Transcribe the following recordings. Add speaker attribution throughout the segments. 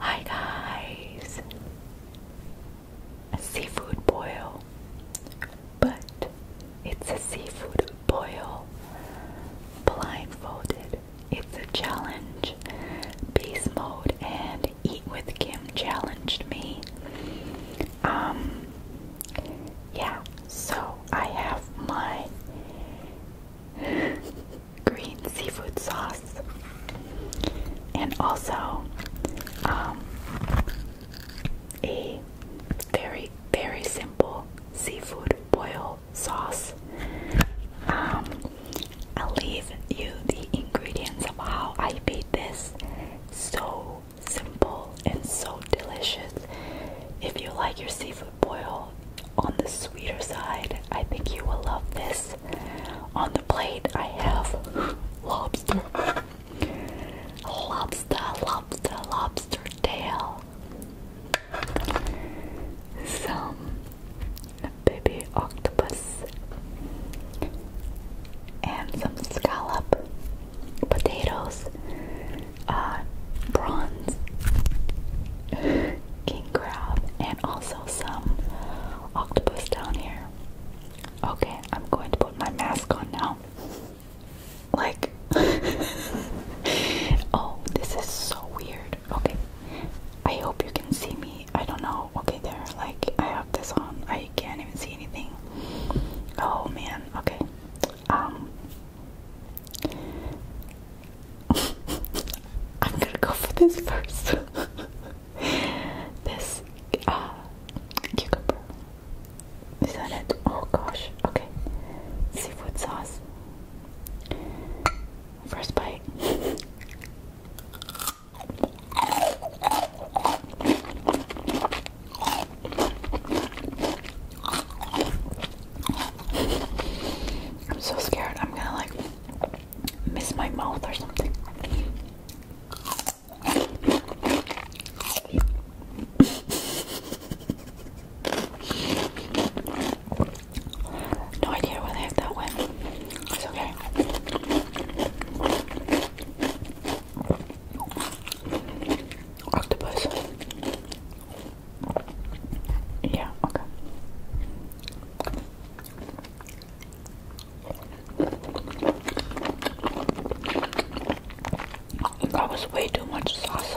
Speaker 1: Hi guys! seafood boil, but it's a seafood boil blindfolded. It's a challenge. Beast mode and eat with Kim challenged me. Um, yeah, so I have my green seafood sauce, and also um, a very, very simple seafood boil sauce. Um, I'll leave you the ingredients of how I made this. So simple and so delicious. If you like your seafood boil on the sweeter side. I think you will love this. On the plate, I have lobster, lobster, lobster, lobster tail, some baby octopus, and some scallop potatoes uh, bronze king crab, and also some octopus down here. Okay, I'm going to put my mask on now. Like, oh, this is so weird. Okay, I hope you can see me. I don't know. Okay, there, like, I have this on. I can't even see anything. Oh man, okay. Um, I'm gonna go for this first. this uh, cucumber. Is that it? Oh gosh. Okay. Seafood sauce. First bite. I'm so scared I'm gonna like miss my mouth or something. No idea why that one. It's okay. Octopus. Yeah, okay. That was way too much sauce.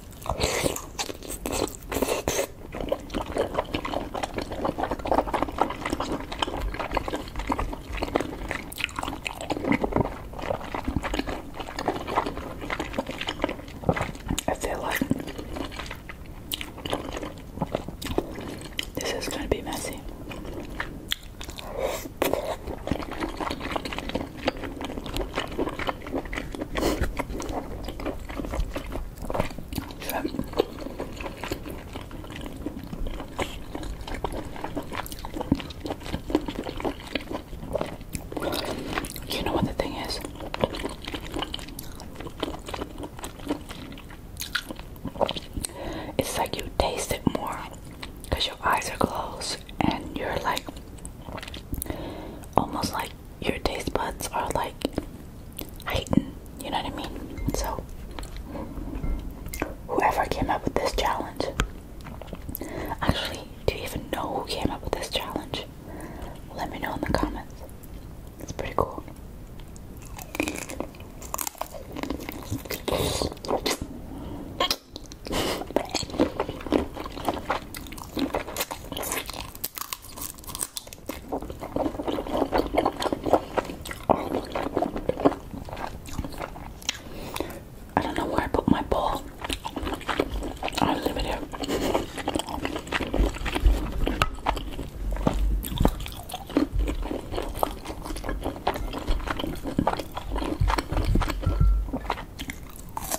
Speaker 1: I feel like this is going to be messy. You know what the thing is? It's like you taste it more because your eyes are closed and you're like almost like your taste buds are like heightened, you know what I mean? So, whoever came up with this challenge, actually, do you even know who came up with this challenge? Let me know in the comments. It's pretty cool. I don't know where I put my bowl. I'll leave here.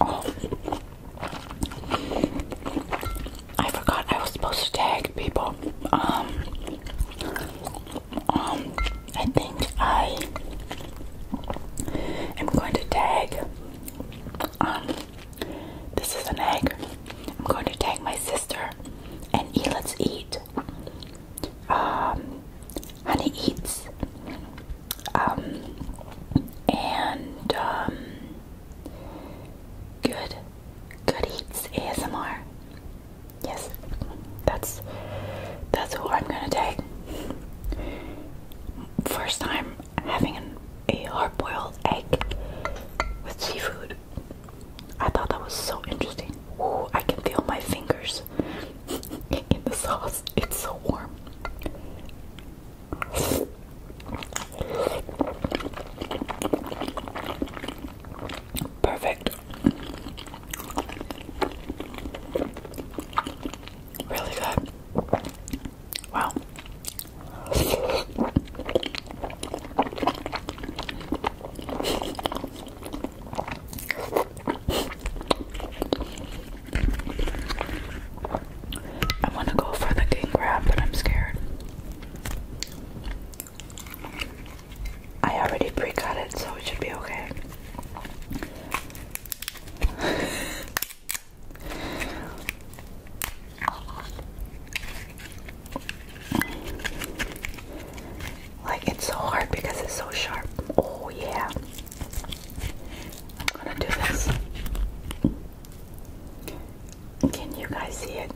Speaker 1: Oh. I forgot I was supposed to tag people. Um, um, I think I am going to tag. Um, this is an egg. I'm going to tag my sister and eat. Let's eat um, honey eats, um, and um, good, good eats ASMR. Yes, that's that's who I'm gonna take. First time having a hard-boiled egg with seafood. I thought that was so interesting. Ooh, I can feel my fingers in the sauce. It's so warm. Perfect. Really good. Wow. I want to go for the king crab, but I'm scared. I already pre cut it, so it should be okay. Like it's so hard because it's so sharp. Oh yeah. I'm gonna do this. Can you guys see it?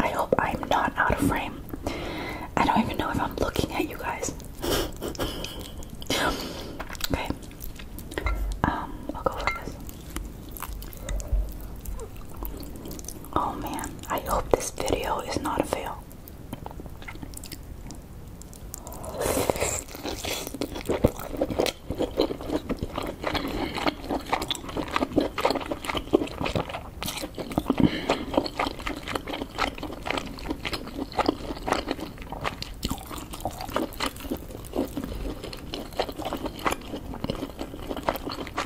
Speaker 1: I hope I'm not out of frame. I don't even know if I'm looking at you guys. okay. Um, I'll go for this. Oh man. I hope this video is not a fail.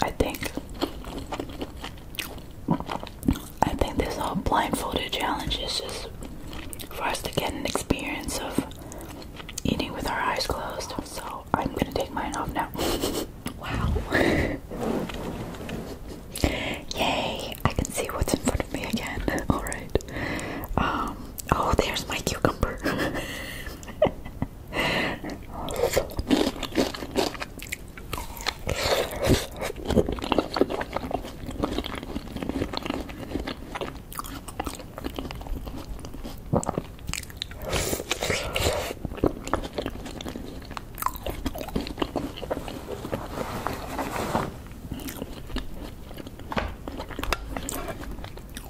Speaker 1: I think I think this whole blindfolded challenge is just for us to get an experience of eating with our eyes closed. So I'm gonna take mine off now. Wow. Yay! I can see what's in front of me again. Alright. Um, oh, there's my cucumber.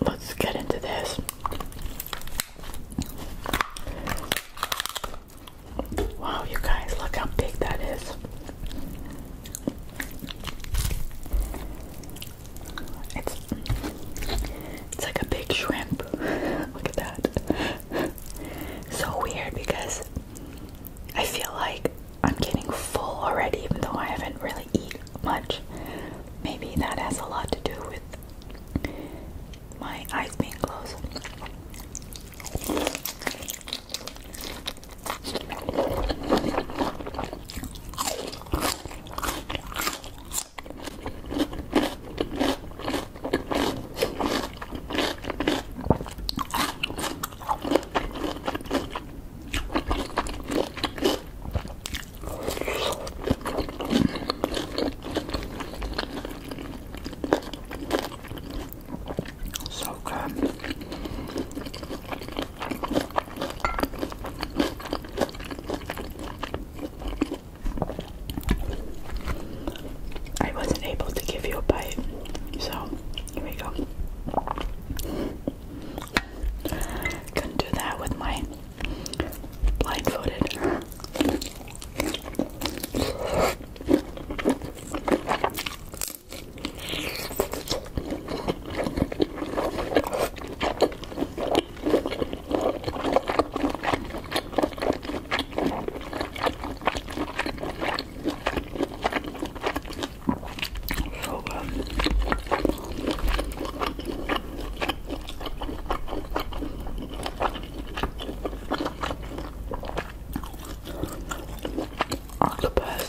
Speaker 1: Let's get into this. Wow, you guys, look how big that is. It's it's like a big shrimp. Look at that. So weird because I feel like I'm getting full already, even though I haven't really eaten much. Maybe that has a lot to do with my eyes being closed. So good. I wasn't able to give you a bite, so here we go. Couldn't do that with my blindfolded. So good. Octopus.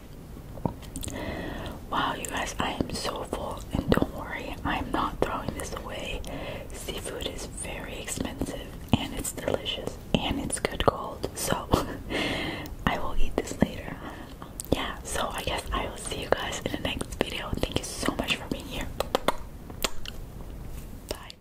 Speaker 1: Wow, you guys, I am so full, and don't worry, I'm not throwing this away. Seafood is very expensive, and it's delicious, and it's good cold, so I will eat this later. Yeah, so I guess I will see you guys in the next video. Thank you so much for being here. Bye.